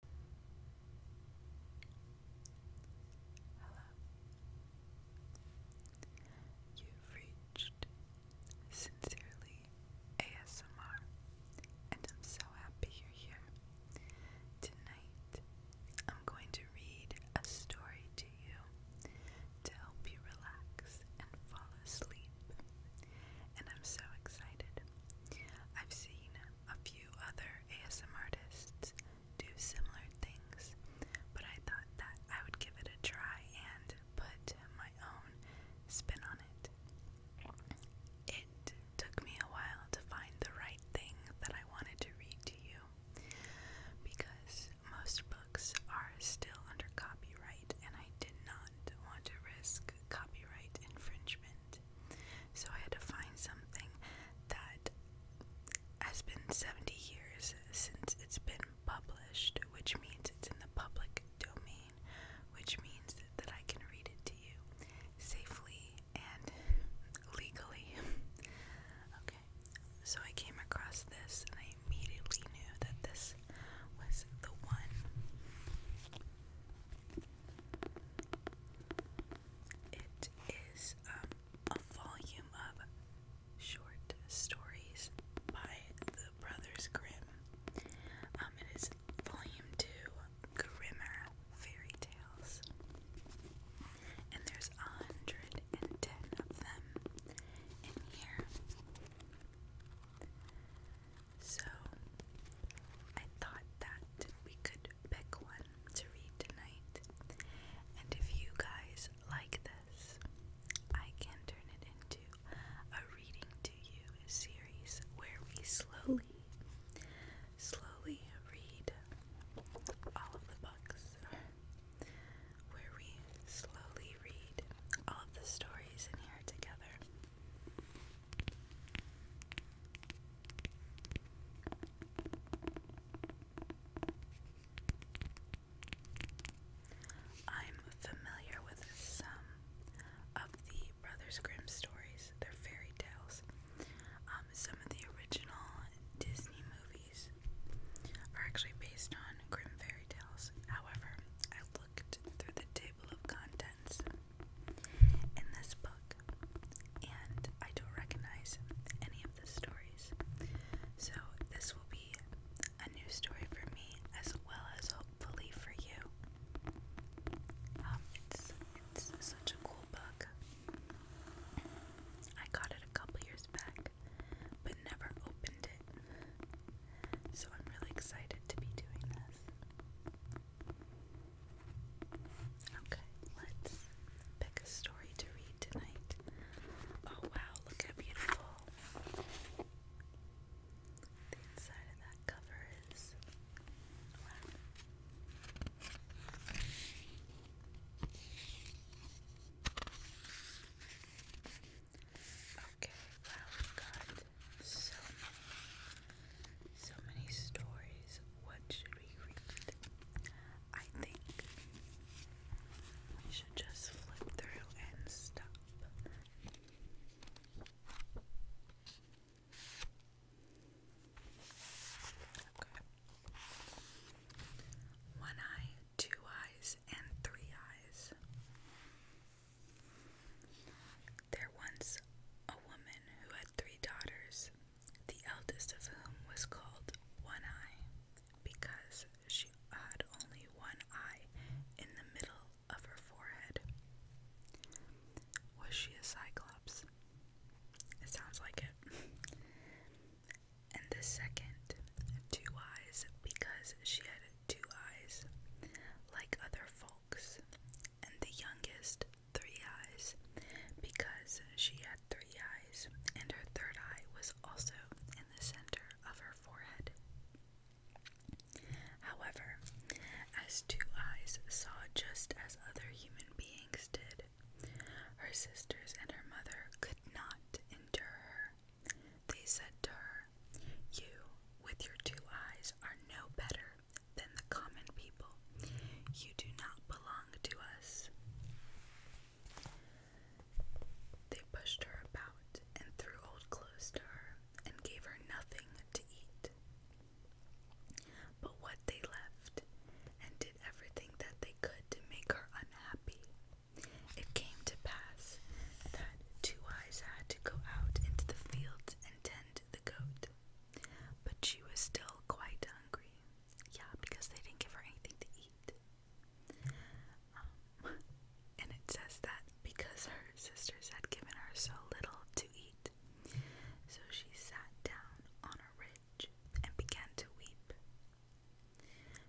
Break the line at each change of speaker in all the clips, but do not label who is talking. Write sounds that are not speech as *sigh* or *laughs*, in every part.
Hello. You've reached Sincerely ASMR, and I'm so happy you're here. Tonight, I'm going to read a story to you to help you relax and fall asleep. And I'm so excited. I've seen a few other other ASM artists do similar things, but I thought that I would give it a try and put my own spin on it. It took me a while to find the right thing that I wanted to read to you because most books are still under copyright and I did not want to risk copyright infringement. So I had to find something that has been 70 years since it's been published, which means it's in the public domain, which means that I can read it to you safely and legally. *laughs* okay, so I came across this and I immediately knew that this was the one. It is um, a volume of short stories by the Brothers Grimm. Um, it is volume two, Grimmer Fairy Tales. And there's a hundred and ten of them in here. So I thought that we could pick one to read tonight. And if you guys like this, I can turn it into a reading to you series where we slowly, slowly read all of the books. Where we slowly read all of the stories in here together. I'm familiar with some of the Brothers Grimm stories, their fairy tales. Um, some of the original Disney movies are actually based on Grimm fairy tales. However, I looked through the table of contents in this book, and I don't recognize any of the stories. So, this will be a new story for me as well as hopefully for you. Um, it's, it's such a cool book. I got it a couple years back, but never opened it. So, I'm really excited to be doing this. Okay, let's pick a story to read tonight. Oh wow, look how beautiful. The inside of that cover is wow. Okay, wow, we so so many stories. What should we read? I think we should just flip through and stop. One eye, two eyes, and three eyes. There once a woman who had three daughters, the eldest of whom was called One Eye, because she had only one eye in the middle of her forehead. Was she a cyclops? It sounds like it. *laughs* and the second, Two Eyes, because she had two eyes, like other folks, and the youngest three eyes because she had three eyes, and her third eye was also in the center of her forehead. However, as Two Eyes saw just as other human beings did, her sisters and her mother could not endure her. They said to her, You, with your two eyes, are no better than the common people. You do not belong to us. They pushed her about and threw old clothes to her and gave her nothing to eat. But what they left, and did everything that they could to make her unhappy. It came to pass that Two Eyes had to go out into the fields and tend the goat. But she was still quite hungry. Yeah, because they didn't give her anything to eat. Um, and it says that because her sisters had given her so little to eat, so she sat down on a ridge and began to weep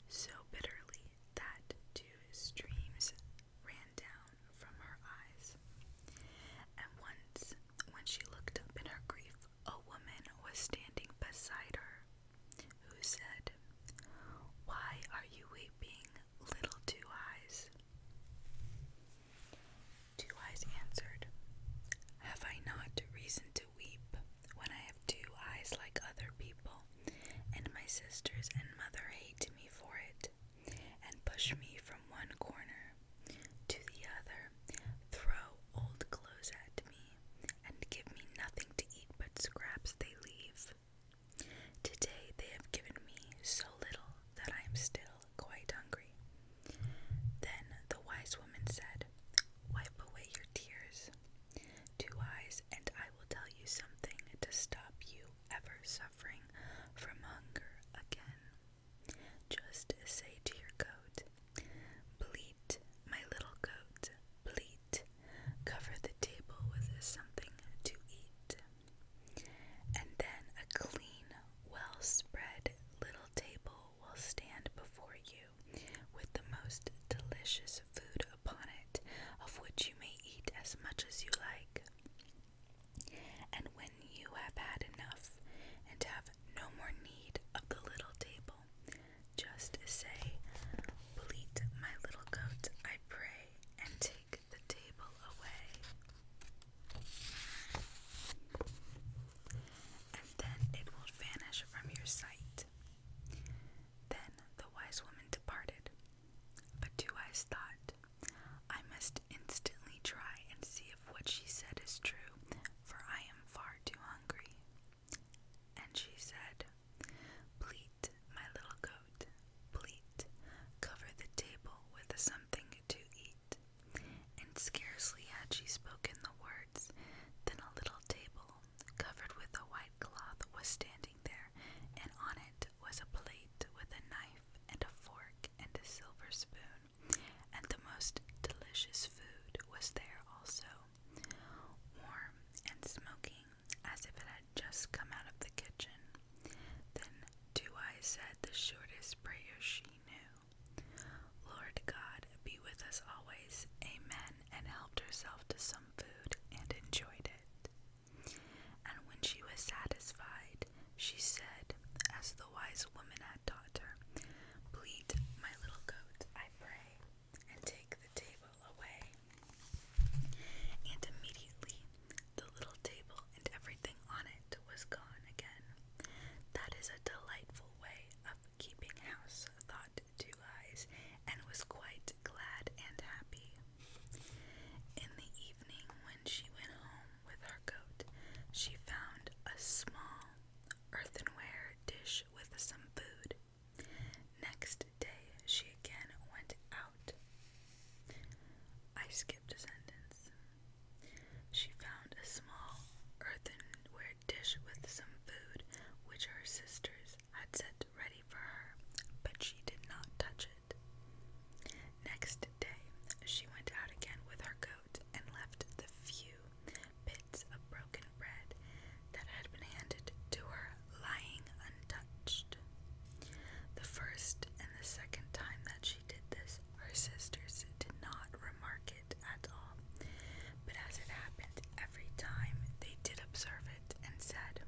so bitterly that two streams ran down from her eyes. And once, when she looked up in her grief, a woman was standing beside her, who said, Why are you weeping, little Two Eyes? Two Eyes answered, Have I not reason to weep when I have two eyes like other people, and my sisters and mother hate me for it? and push me from one corner to the other, throw old clothes at me, and give me nothing to eat but scraps they leave. Today they have given me so little that I am still quite hungry. Then the wise woman said, Wipe away your tears. Two eyes, and I will tell you something to stop you ever suffering from hunger again. Just say to your coat, bleat, my little coat, bleat, cover the table with something to eat. And then a clean, well spread little table will stand before you with the most delicious food upon it, of which you may eat as much as you like. And when you have had enough and have no more need of the little table, just say, Bleat my little goat, I pray, and take the table away. And then it will vanish from your sight. Then the wise woman departed. But Two Eyes thought, I must instantly try and see if what she said is true, for I am far too hungry. And she said, Pleat, my little coat, pleat, cover the table with something to eat. And scarcely had she spoken the words than a little table, covered with a white cloth, was standing there, and on it was a plate with a knife and a fork and a silver spoon and the most delicious food was there also, warm and smoking as if it had just come out of the kitchen. Then Two Eyes said the shortest prayer she knew Lord God, be with us always, amen, and helped herself to some food and enjoyed it. And when she was satisfied, she said, as the wise woman had taught her, Bleat, my little goat, I pray, and take the table away. And immediately the little table and everything on it was gone again. That is a delightful way of keeping house, thought Two Eyes, and was quite glad and happy. In the evening, when she went home, with her coat, she found a small earthenware dish with some food. Next day, she again went out. I skipped a sentence. She found a small earthenware dish with some food, which her sisters had set ready for her, but she did not touch it. Next day, she went out again with her coat and left the few bits of broken bread that had been handed to her lying untouched. The first and the second time that she did this, her sisters did not remark it at all, but as it happened every time, they did observe it and said,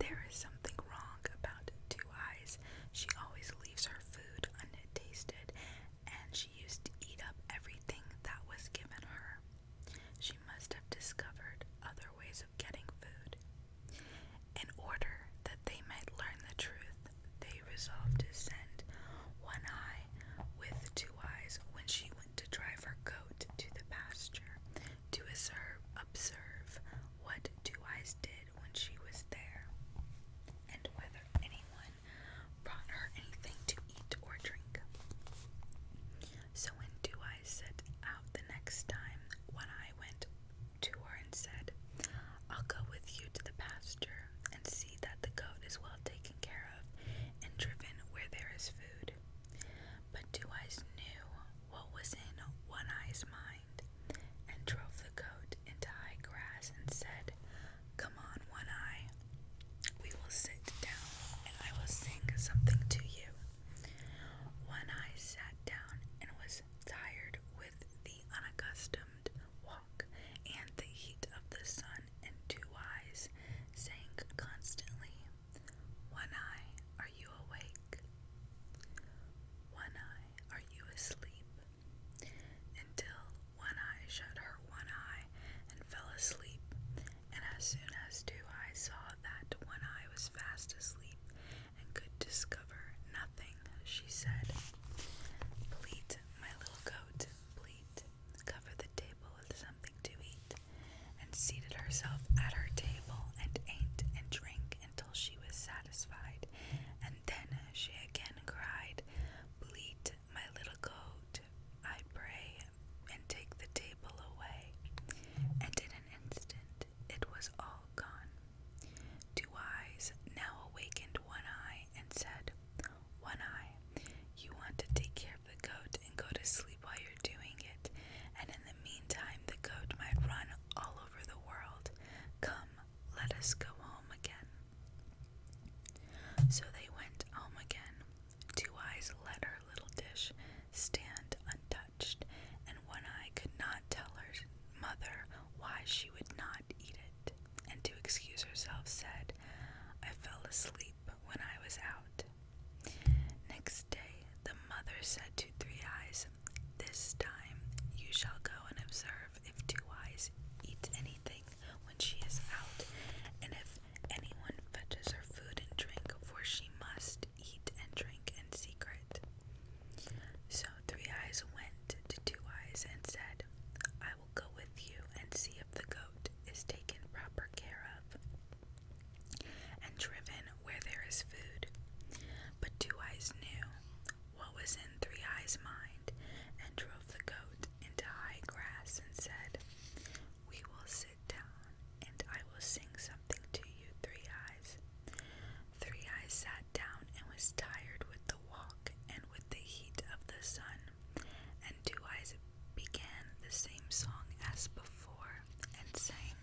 There is something wrong about Two Eyes. She always leaves her food untasted, and she used to eat up everything that was given her. She must have discovered other ways of getting food. In order that they might learn the truth, they resolved to send One Eye with Two Eyes when she went to drive her goat to the pasture to observe what Two Eyes did when she was there, and whether anyone brought her anything to eat or drink. So when Do I set out the next time, when I went to her and said, I'll go with you to the pasture and see that the goat is well taken care of and driven where there is food. But Two Eyes knew what was in One Eye's mind and drove the goat into high grass and said, Come on, One Eye, we will sit down and I will sing something to you. One Eye sat down and was tired with the unaccustomed walk and the heat of the sun, and Two Eyes sang constantly, One Eye, are you awake? One Eye, are you asleep? Until One Eye shut her one eye and fell asleep, and as soon as Two Eyes saw that One Eye was fast asleep and could discover nothing, she said, Bleat, my little goat, bleat, cover the table with something to eat, and seated herself at her table and ate and drank until she was satisfied satisfied, and then she again cried, Bleat, my little goat, I pray, and take the table away. And in an instant it was all gone. Two Eyes now awakened One Eye and said, One Eye, you want to take care of the goat and go to sleep while you're doing it, and in the meantime the goat might run all over the world. Come, let us go home again. So they went home again. Two Eyes let her little dish stand untouched, and One Eye could not tell her mother why she would not eat it, and to excuse herself said, I fell asleep when I was out. Next day, the mother said to Three Eyes, This time you shall go and observe if Two Eyes eat anything when she is out, and if anyone fetches her food and drink, for she must eat and drink in secret. So Three Eyes went to Two Eyes and said, I will go with you and see if the goat is taken proper care of and driven where there is food. But Two Eyes knew what was in Three Eyes' mind and drove the goat into high grass and said, We will sit down and I will sing something to you, Three Eyes. Three Eyes sat down and was tired with the walk and with the heat of the sun, and Two Eyes began the same song as before and sang.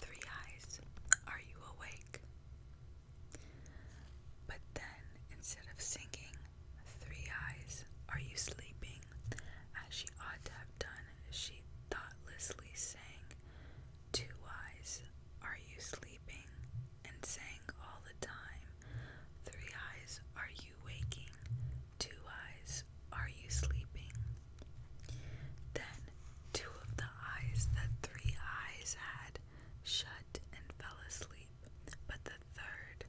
Three eyes, are you awake? But then, instead of singing, Three eyes, are you sleeping? As she ought to have done, she thoughtlessly sang, Two eyes, are you sleeping? And sang all the time, Three eyes, are you waking? Two eyes, are you sleeping? Then two of the eyes that three eyes had shut and fell asleep, but the third,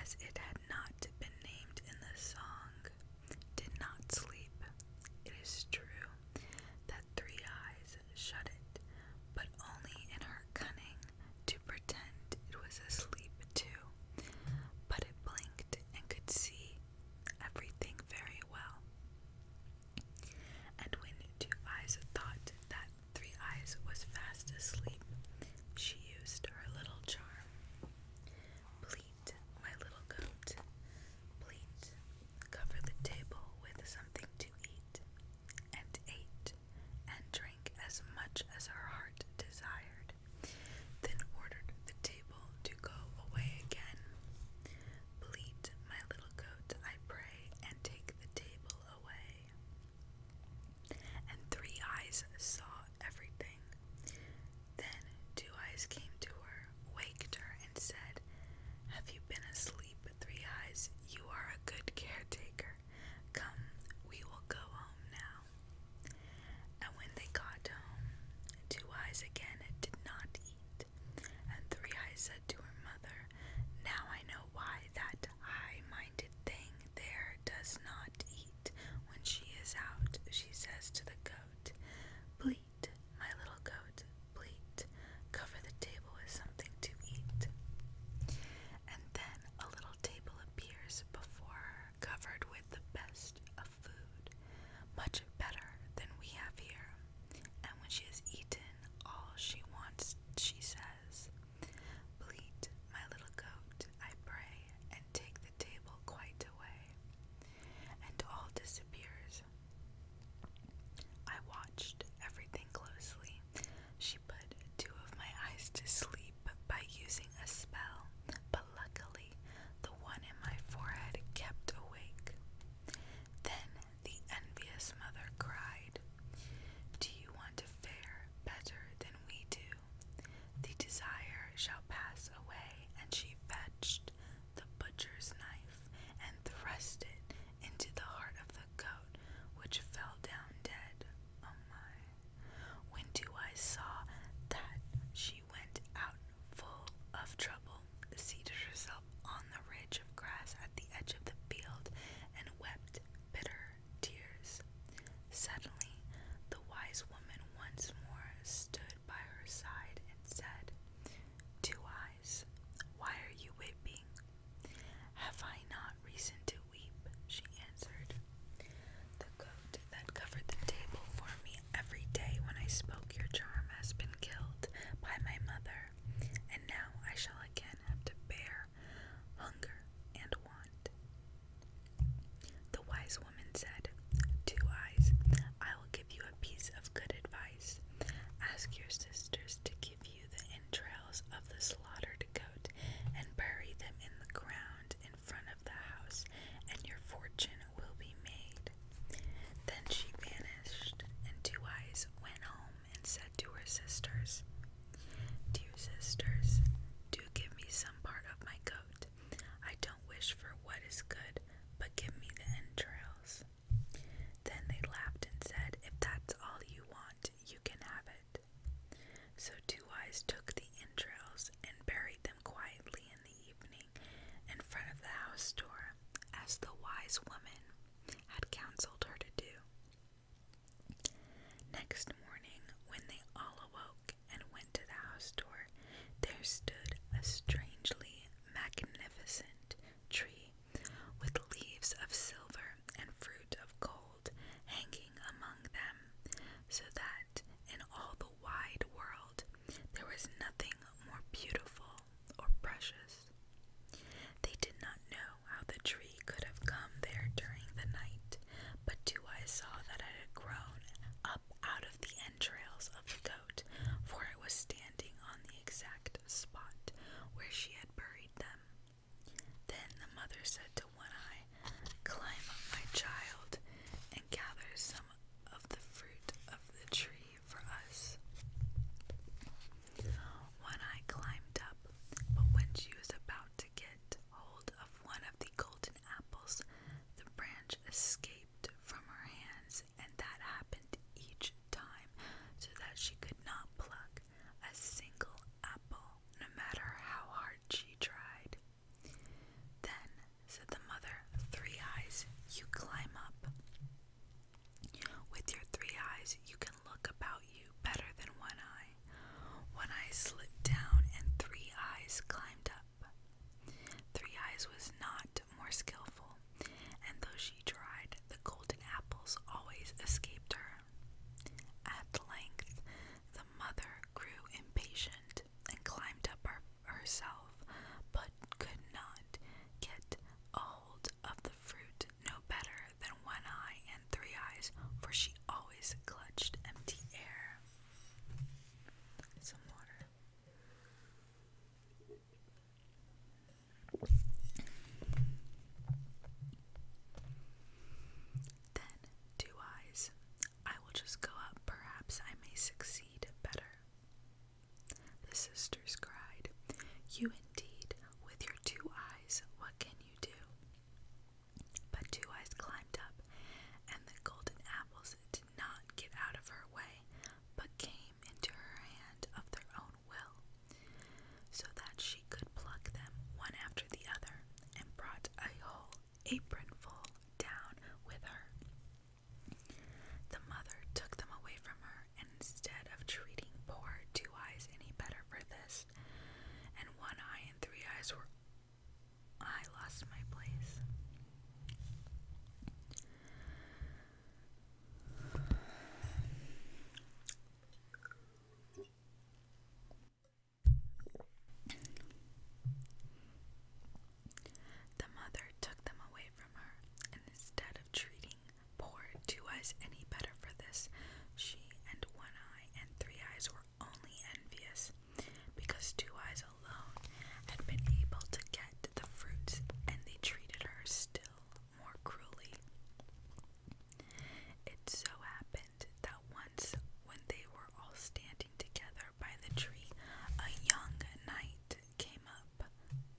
as it had not been named in the song, did not sleep. It is true that three eyes shut it, but only in her cunning to pretend it was asleep too. But it blinked and could see everything very well. And when Two Eyes thought that Three Eyes was fast asleep, she used her little charm. Pleat, my little goat, pleat, cover the table with something to eat, and ate, and drank as much as her heart desired, then ordered the table to go away again. Bleat my little goat, I pray, and take the table away. And three eyes saw everything. Then two eyes came to her, waked her, and said, Have you been asleep, three eyes? You are a good caretaker. Come, we will go home now. And when they got home, Two Eyes again did not eat, and Three Eyes said to her mother, Now I know why that high minded thing there does not eat when she is out, she says to the goat, Bleat, my little goat, bleat, cover the table with something to eat. And then a little table appears before her, covered with the best food, much better than we have here. And when she has eaten all she wants, she says, Bleat, my little goat, I pray, and take the table quite away. And all disappears. I watched everything closely. She put two of my eyes to sleep by using a spell, but luckily the one in my forehead kept awake. Then the envious mother cried, Do you want to fare better than we do? The desire shall pass away. And she fetched the butcher's knife and thrust it into the heart of the goat, which fell down dead. Oh my! When do I saw that she she went out full of trouble, seated herself on the ridge of grass at the edge of the field, and wept bitter tears. Suddenly, the wise woman once more stood by her side and said, Two Eyes, why are you weeping? Have I not reason to weep? She answered. The coat that covered the table for me every day when I spoke, your charm has been killed by my mother, and now I shall again have to bear hunger and want. The wise woman said, Two eyes, I will give you a piece of good advice. Ask your sisters to give you the entrails of the slaughtered goat and bury them in the ground in front of the house, and your fortune will be made. Then she vanished, and Two Eyes went home and said to her sisters, Dear sisters, do give me some part of my coat. I don't wish for what is good, but give me the entrails. Then they laughed and said, If that's all you want, you can have it. So Two Eyes took the entrails and buried them quietly in the evening in front of the house door, as the wise woman had counseled her to do. Next morning, when they all awoke and went to the house door, there stood a strangely magnificent tree with leaves of silver and fruit of gold hanging among them, so that in all the wide world, there was nothing more beautiful or precious. They did not know how the tree could have come there during the night, but Two Eyes saw that it had grown up out of the entrails of the goat, for it was standing on the exact spot where she had buried them. Then the mother said to One Eye, Climb up, my child, and gather some of the fruit of the tree for us. One Eye climbed up, but when she was about to get hold of one of the golden apples, the branch escaped from her hands, and that happened each time so that she could not pluck a single apple, no matter how hard she tried. Then said the mother. Three eyes, you climb up. With your three eyes, you can look about you better than one eye. One eye slipped down, and three eyes climbed up. Three eyes was not more skillful, and though she tried, the golden apples always escaped her. At length, the mother grew impatient and climbed up herself, but could not get hold of the fruit no better than one eye and three eyes, for she always clutched empty air. Some water. Then, two eyes. I will just go up, perhaps I may succeed better. The sisters cried, You indeed, with your two eyes, what can you do? But Two Eyes climbed up, and the golden apples did not get out of her way, but came into her hand of their own will, so that she could pluck them one after the other, and brought a whole apronful down with her. The mother took them away from her, and instead of treating poor Two Eyes any better for this, and One Eye and Three Eyes were. I lost my place. The mother took them away from her, and instead of treating poor Two Eyes any better for this, she and One Eye and Three Eyes were only envious because Two Eyes alone had been able to get the fruits, and they treated her still more cruelly. It so happened that once, when they were all standing together by the tree, a young knight came up.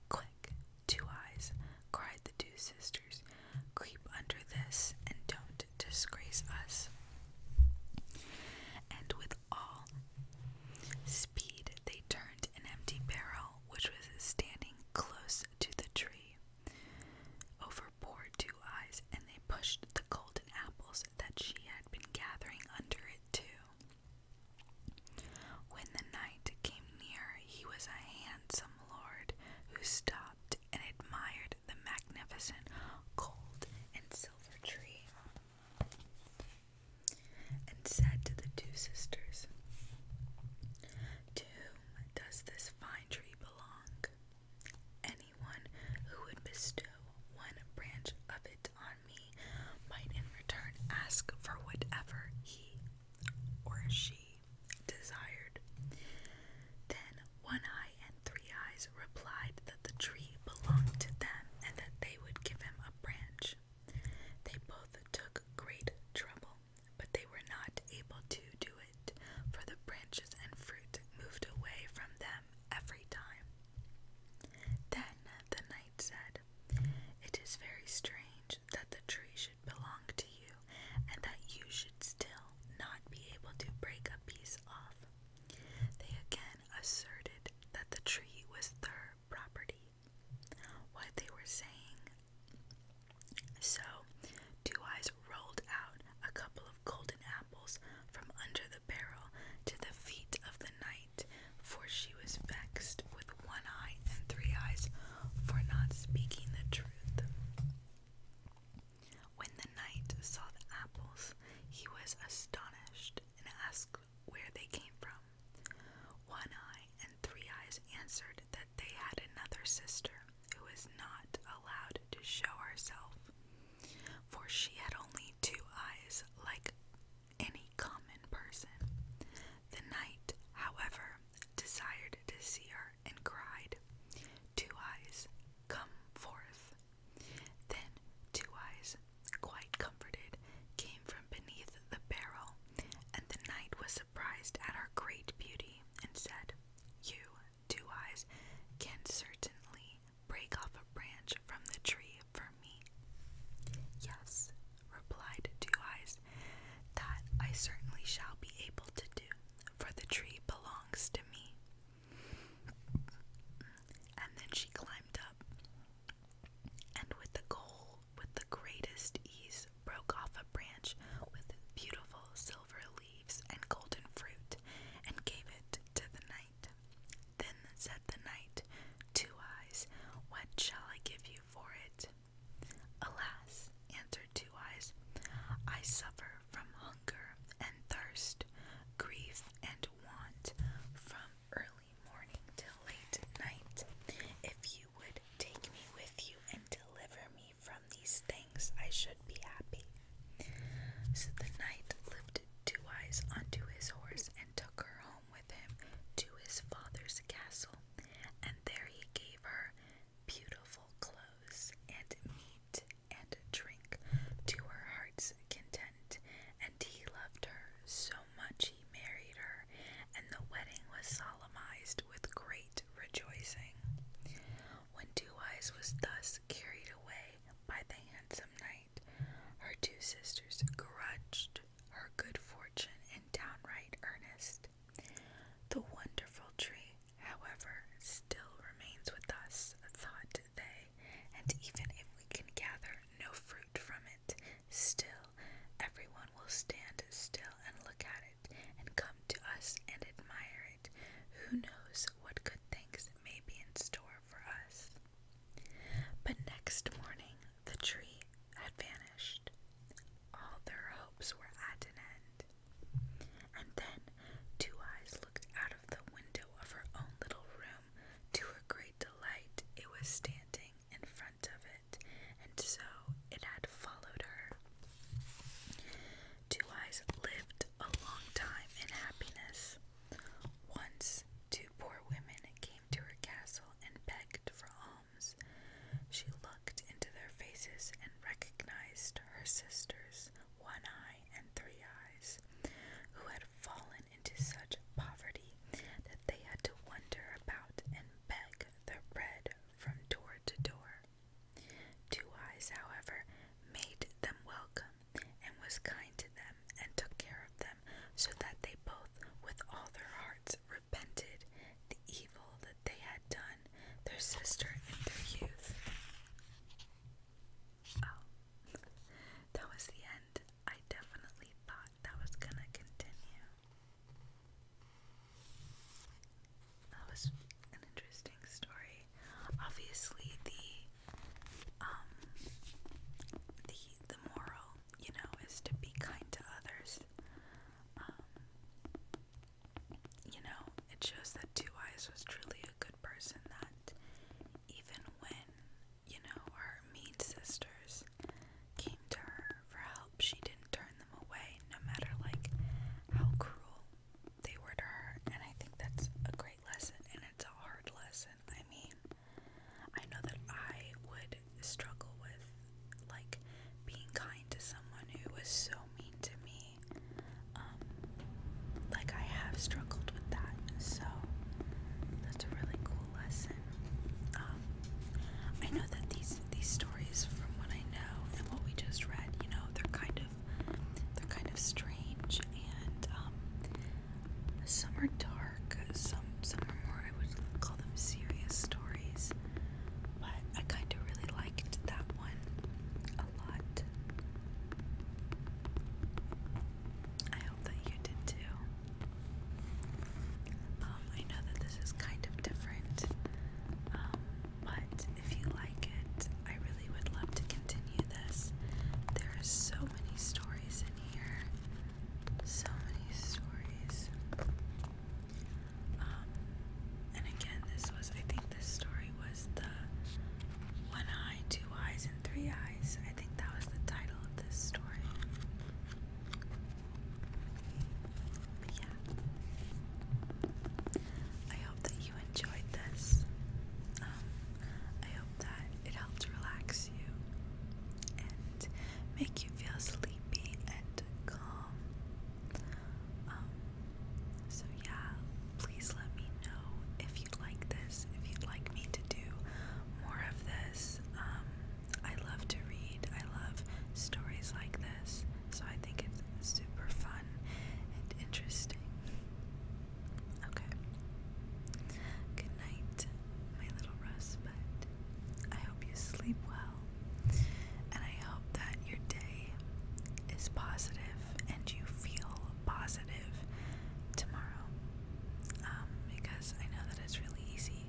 Quick, two eyes, cried the two sisters, creep under this and don't disgrace us. And with all speed, they turned an empty barrel which was standing close to the tree. Over poor two eyes, and they pushed the golden apples that she had been gathering under it too. When the night came near, he was a handsome lord who stopped and admired the magnificent gold and silver tree, and said to the two sisters, To does this fine tree belong? Anyone who would bestow one branch of it on on me might in return ask for whatever he or she desired. Then One Eye and Three Eyes replied that the tree belonged to them and that they would give him a branch. They both took great trouble, but they were not able to do it, for the branches and fruit moved away from them every time. Then the knight said, it is very strange that the tree should belong to you, and that you should still not be able to break a piece off. They again asserted that the tree was their property. What they were saying. So, Two Eyes rolled out a couple of golden apples from under the barrel to the feet of the night, for she was vexed with one eye and three eyes for not speaking the truth. When the knight saw the apples, he was astonished and asked where they came from. One Eye and Three Eyes answered that they had another sister who was not allowed to show herself, for she had only two eyes like any common person. The knight, however, desired to see her and cried, Two Eyes, come forth. Then Two Eyes, quite comforted, came from beneath the barrel, and the knight was surprised at her great beauty and said, You, Two Eyes, can certainly break off a branch from the tree for me." Yes, replied Two Eyes, that I certainly shall be able to do, for the tree belongs to me. And then she climbed up, and with the goal, with the greatest ease, broke off a branch with beautiful silver leaves and golden fruit, and gave it to the knight. Then said the knight, "Two Eyes, what shall I give you for it? Alas, answered Two Eyes, I suffer from hunger and thirst, grief and want, from early morning till late night. If you would take me with you and deliver me from these things, I should be happy. So the knight lifted Two Eyes onto his horse and took her home with him to his father's castle, and there he gave her beautiful clothes and meat and drink to her heart's content, and he loved her so much he married her, and the wedding was solemnized with great rejoicing. When Two Eyes was thus carried away by the handsome knight, night. Her two sisters grudged her good fortune in downright earnest. The wonderful tree, however, still remains with us, thought they, and even if we can gather no fruit from it, still everyone will stand still and look at it and come to us and admire it. Who knows what good things may be in store for us? But next morning the tree had vanished. All their hopes were at an end. And then Two Eyes looked out of the window of her own little room. To her great delight, it was standing in front of it, and so it had followed her. Two Eyes lived a long time in happiness. Once, two poor women came to her castle and begged for alms. She looked into their faces and recognized her sisters, One Eye and Three Eyes, who had fallen into such poverty that they had to wander about and beg their bread from door to door. Two Eyes, however, made them welcome and was kind to them and took care of them, so that they both, with all their hearts, repented the evil that they had done their sister in their youth. Oh, that was the end. I definitely thought that was gonna continue. That was an interesting story. Obviously, the um, the the moral you know, is to be kind to others. Um, you know, it shows that Two Eyes was truly a good person that even when, you know, her mean sisters came to her for help, she didn't turn them away, no matter like how cruel they were to her. And I think that's a great lesson and it's a hard lesson. I mean, I know that I would struggle with like being kind to someone who was so mean to me. Um, like I have struggled with that, so that's a really cool lesson. Um, I know that these these stories, from what I know and what we just read, you know, they're kind of they're kind of strange and um, some are dark, some some are more I would call them serious stories. But I kinda really liked that one a lot. I hope that you did too. Um, I know that this is kind of different, um, but if you like it, I really would love to continue this. There are so many stories in here so many stories. Um, and again, this was, I think this story was the one eye, two eyes, and three eyes. I think that was the title of this story. yeah. I hope that you enjoyed this. Um, I hope that it helped relax you and make you feel sleepy and calm. Um, so, yeah, please let me know if you'd like this, if you'd like me to do more of this. Um, I love to read, I love stories like this, so I think it's super fun and interesting. Okay. Good night my little rosebud. I hope you sleep well, and I hope that your day is positive and you feel positive tomorrow. Um, because I know that it's really easy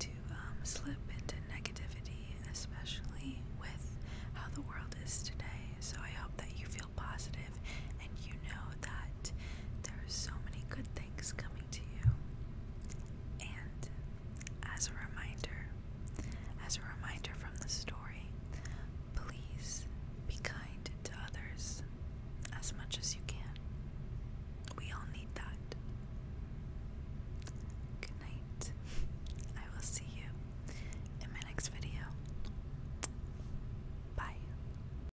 to um, slip into negativity, especially with how the world is today. So I hope that you feel positive and you know that there are so many good things things coming to you. And as a reminder, as a reminder from the story, please be kind to others as much as you can. We all need that. Good night. I will see you in my next video. Bye.